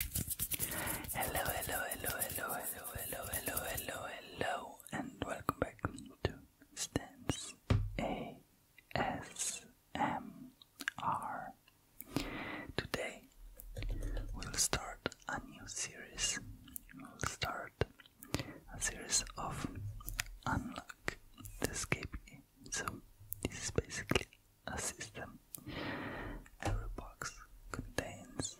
Hello, hello, hello, hello, hello, hello, hello, hello, hello, and welcome back to Stance ASMR. Today we'll start a new series. We'll start a series of unlock the escape game. So this is basically a system. Every box contains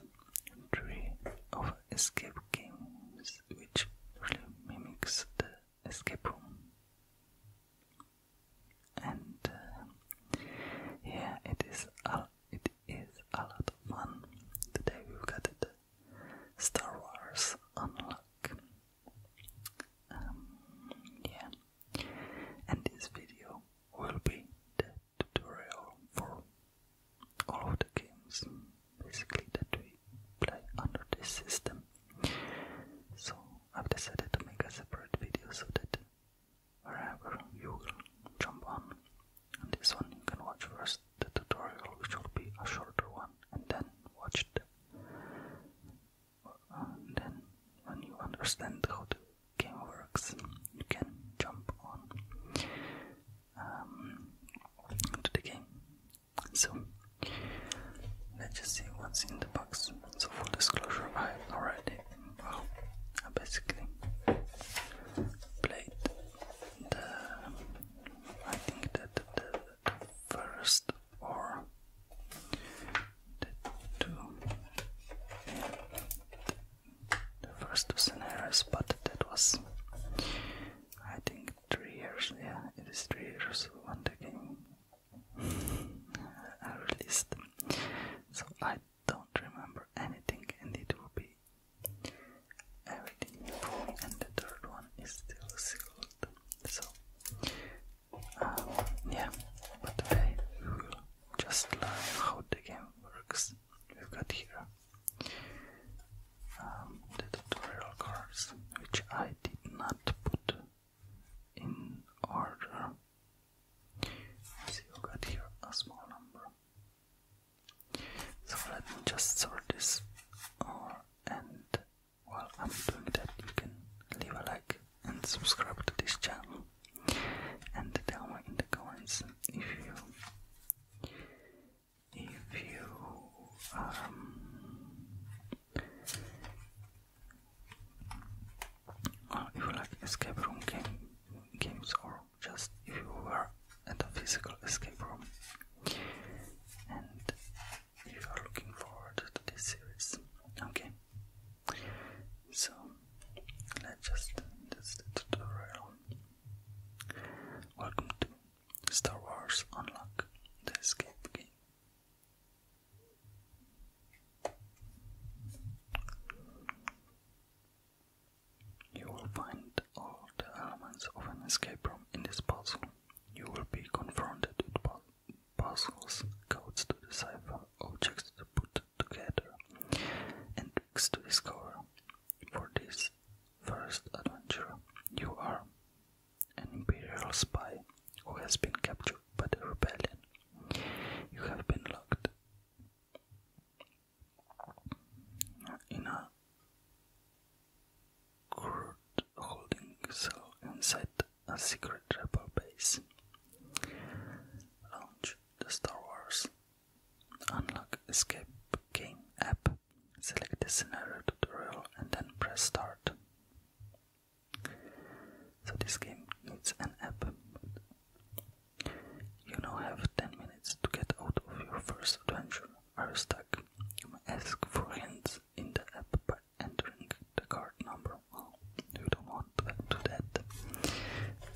three of escape games, which really mimics the escape room. And uh, yeah, it is a, it is a lot of fun. Today we got the Star Wars Unlock. Um, yeah, and this video will be the tutorial for all of the games basically that we play under this system. So I've decided to make a separate video so that wherever you will jump on, this one you can watch first the tutorial which will be a shorter one and then watch the then when you understand how the game works, you can jump on um, to the game. So let's just see what's in the box. So full disclosure, I already well, I basically played the I think that the first or the two the first two scenarios, but that was I think three years. Yeah, it is three years when the game I released. So I don't remember anything, and it will be everything. And the third one is still sealed. So um, yeah, but today we will just learn how the game works. We've got here um, the tutorial cards, which I did not put in order. So you got here a small number. So let me just sort this, and while I'm doing that, you can leave a like and subscribe to this channel and tell me in the comments if you if you um uh, if you like escape room games or just if you were at a physical escape room and you're looking forward to this series. Okay, so let's just that's the tutorial. Welcome to Star Wars Unlock the Escape Game. You will find all the elements of an escape room in this puzzle. You will be confronted with puzzles, codes to decipher, objects to put together, and tricks to discover. For this first adventure, you are an imperial spy who has been captured by the rebellion. You have been locked in a holding cell inside a secret rebel base. Launch the Star Wars. Unlock Escape Game app. Select the scenario tutorial and then press start. So this game needs an app. You now have 10 minutes to get out of your first adventure. Are stuck? ask for hints in the app are entering the card number. Well, you don't want to do that.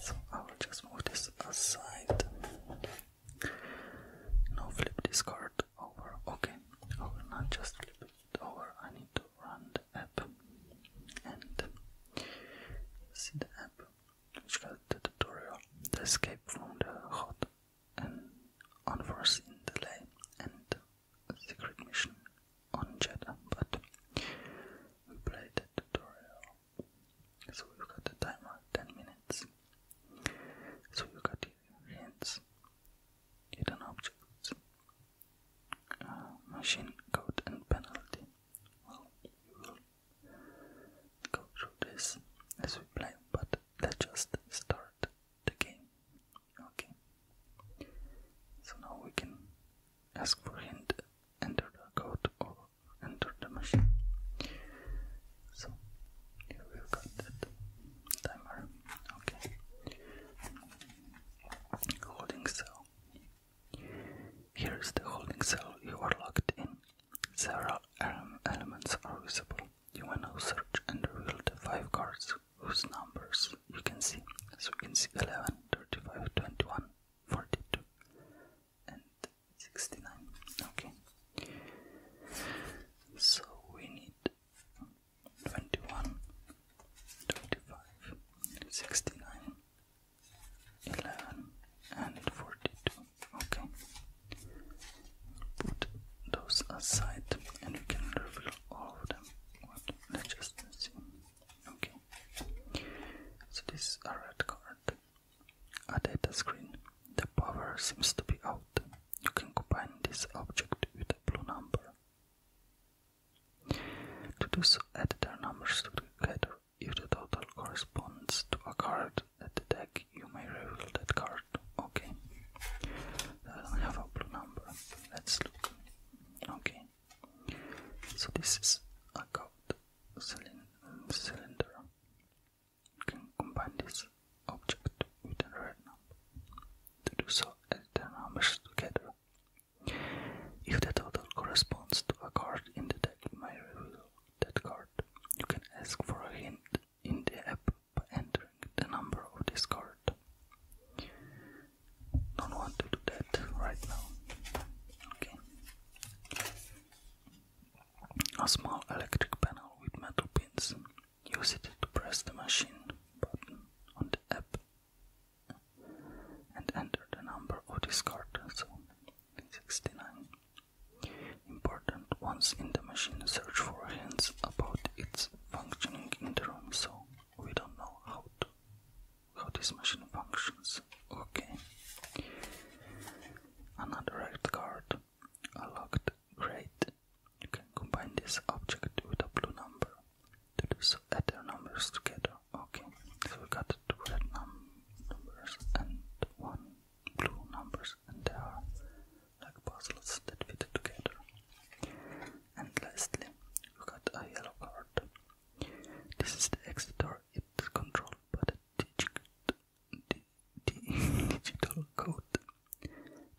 So I will just move this aside. Now flip this card over. Okay, I not just flip it over. I need to run the app and see the app which got the tutorial, escape from the hot and unforeseen delay and secret mission on Jeddah, but we play the tutorial. So we've got the timer 10 minutes. So you got hints, hidden objects, uh, machine code, and penalty. Well, we will go through this as we play, but let's just start the game. Okay. So now we can ask for hint, enter the code or enter the machine. So here we've got timer. Okay. Holding cell. Here is the holding cell you are locked in. Several elements are visible you wanna search and reveal the five cards whose numbers you can see. So you can see 11, 35, 21, 42, and 69. Okay. So we need 21, 35, 69, 11, and 42. Okay put those aside and you can reveal all of them. Let's just see. Okay. So this red card. A data screen. The power seems to be out. You can combine this object with a blue number. To do so, add their numbers together. If the total corresponds to a card at the deck, you may reveal that card. Okay. I don't have a blue number. Let's look. Okay. So this is a gold cylinder. You can combine this object with a red number. To do so, add the numbers together. If the total corresponds to a card in the deck, may reveal that card. You can ask for a hint in the app by entering the number of this card. Don't want to do that right now. Okay. A small electric panel with metal pins. Use it to press the machine button on the app and enter the number of this card. So 69 important ones in the machine search for hints about its functioning in the room, so we don't know how to how this machine functions. Okay. Another red card. A locked crate. You can combine this object with a blue number. To do so add their numbers together. Okay. So we got two red numbers and one blue numbers and there are like puzzles that fit together. And lastly, we got a yellow card. This is the Exeter, it's controlled by the digit, di, di, digital code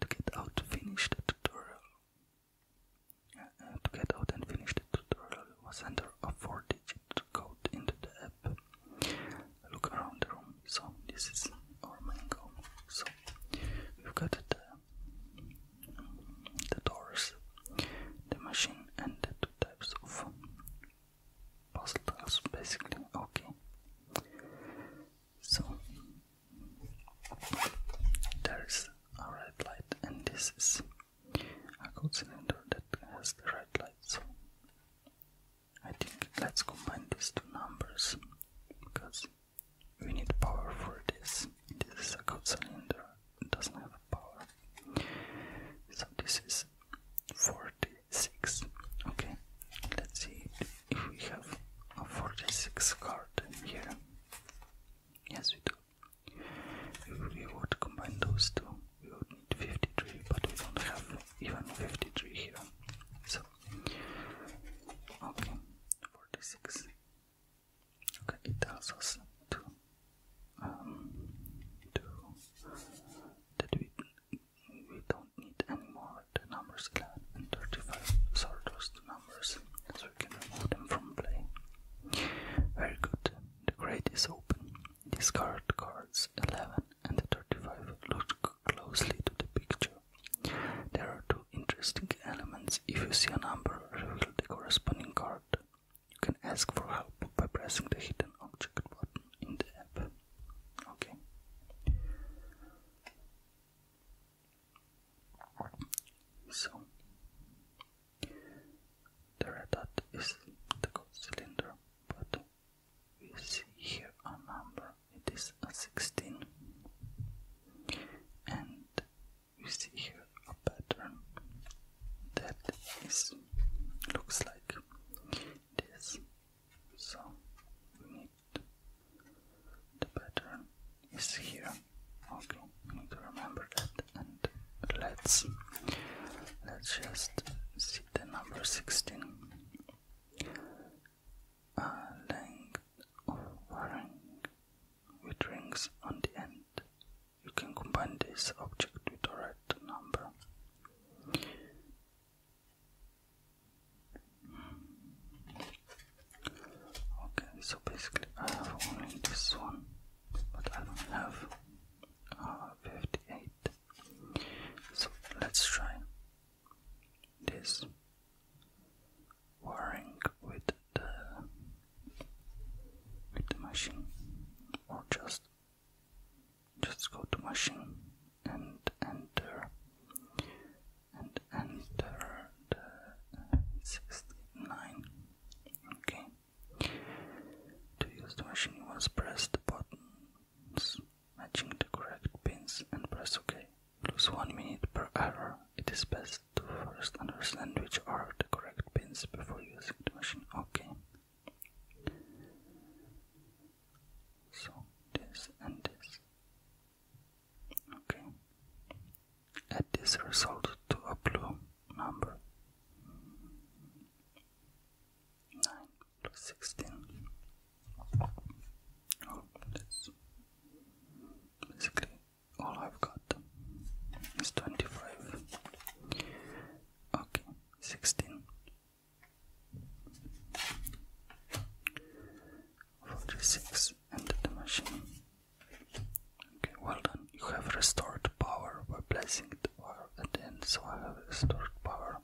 to get out finish the tutorial. Uh, uh, to get out and finish the tutorial was under a 4 digit code into the app look around the room. So this is our main goal. So we've got the, the doors, the machine, and the two types of puzzle tiles, basically. Okay. So there's a red light, and this is a gold cylinder that has the red light. So I think let's combine these two numbers because we need power for this. This is a good cylinder, it doesn't have power. So this is 46. Okay, let's see if we have a 46 card here. Yes, we do. If we would combine those two, we would need 53, but we don't have even 53 here. So Okay, 46. Okay, it tells us to, um, to, that we, we don't need anymore the numbers 11 and 35. So those two numbers, so we can remove them from play. Very good. The crate is open. Discard cards 11 and the 35 look closely to the picture. There are two interesting elements. If you see a number, reveal the corresponding card. You can ask for help by pressing the hidden object button in the app. Okay. So the red dot is the code cylinder, but we see here a number, it is a 16, and we see here a pattern that is looks like this. So we need the pattern is here. Okay, we need to remember that and let's let's just see the number 16 a length of ring with rings on the end. You can combine this object with a red number. Okay, so basically I have only this one, but I don't have uh, 58 so let's try this wiring with the with the machine or just just go to machine and enter and enter the 69 okay to use the machine you must press the buttons Matching the correct pins and press OK. Lose 1 minute per error. It is best to first understand which are the correct pins before using the machine. OK. So this and this. Okay. Add this result to a blue number. Nine. 16. Oh, that's basically all I've got is 25. Okay, 16. 46 and the machine. Okay, well done. You have restored power by placing power at n, so I have stored power.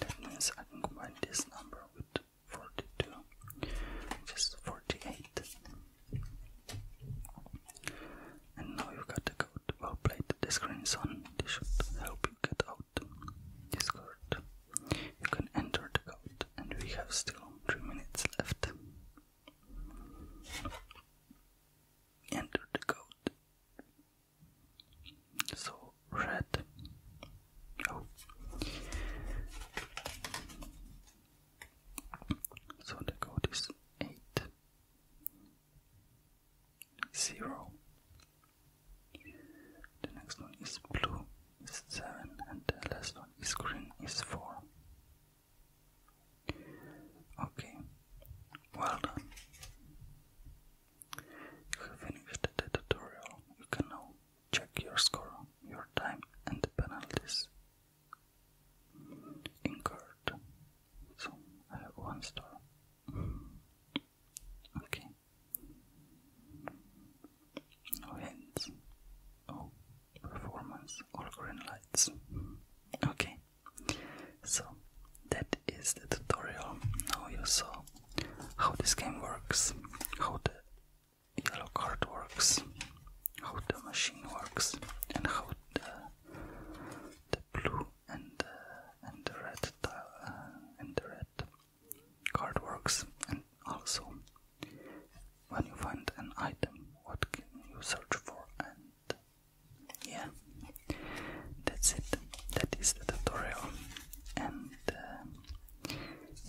That means I can combine this number with 42, which is 48. And now you have got the code. Well play the screen is on. This should help you get out this code. You can enter the code, and we have still 3 minutes left. Enter the code. So red. Oh. So the code is eight zero. The next one is blue is seven and the last one is green is four. Okay, well done. You have finished the tutorial. You can now check your score, your time, and the penalties incurred. So I have one star. Okay. No hints. Oh, performance. All green lights. Okay. So that is the tutorial. Now you saw how this game works, how the yellow card works, how the machine works, and how the, the blue and and the red tile uh, and the red card works, and also when you find an item, what can you search for and yeah, that's it. That is the tutorial, and uh,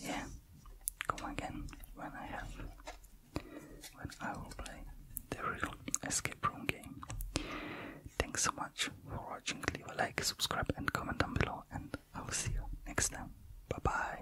yeah, come again when I have when I will play the real escape room game. Thanks so much for watching. Leave a like, subscribe, and comment down below, and I will see you next time. Bye bye.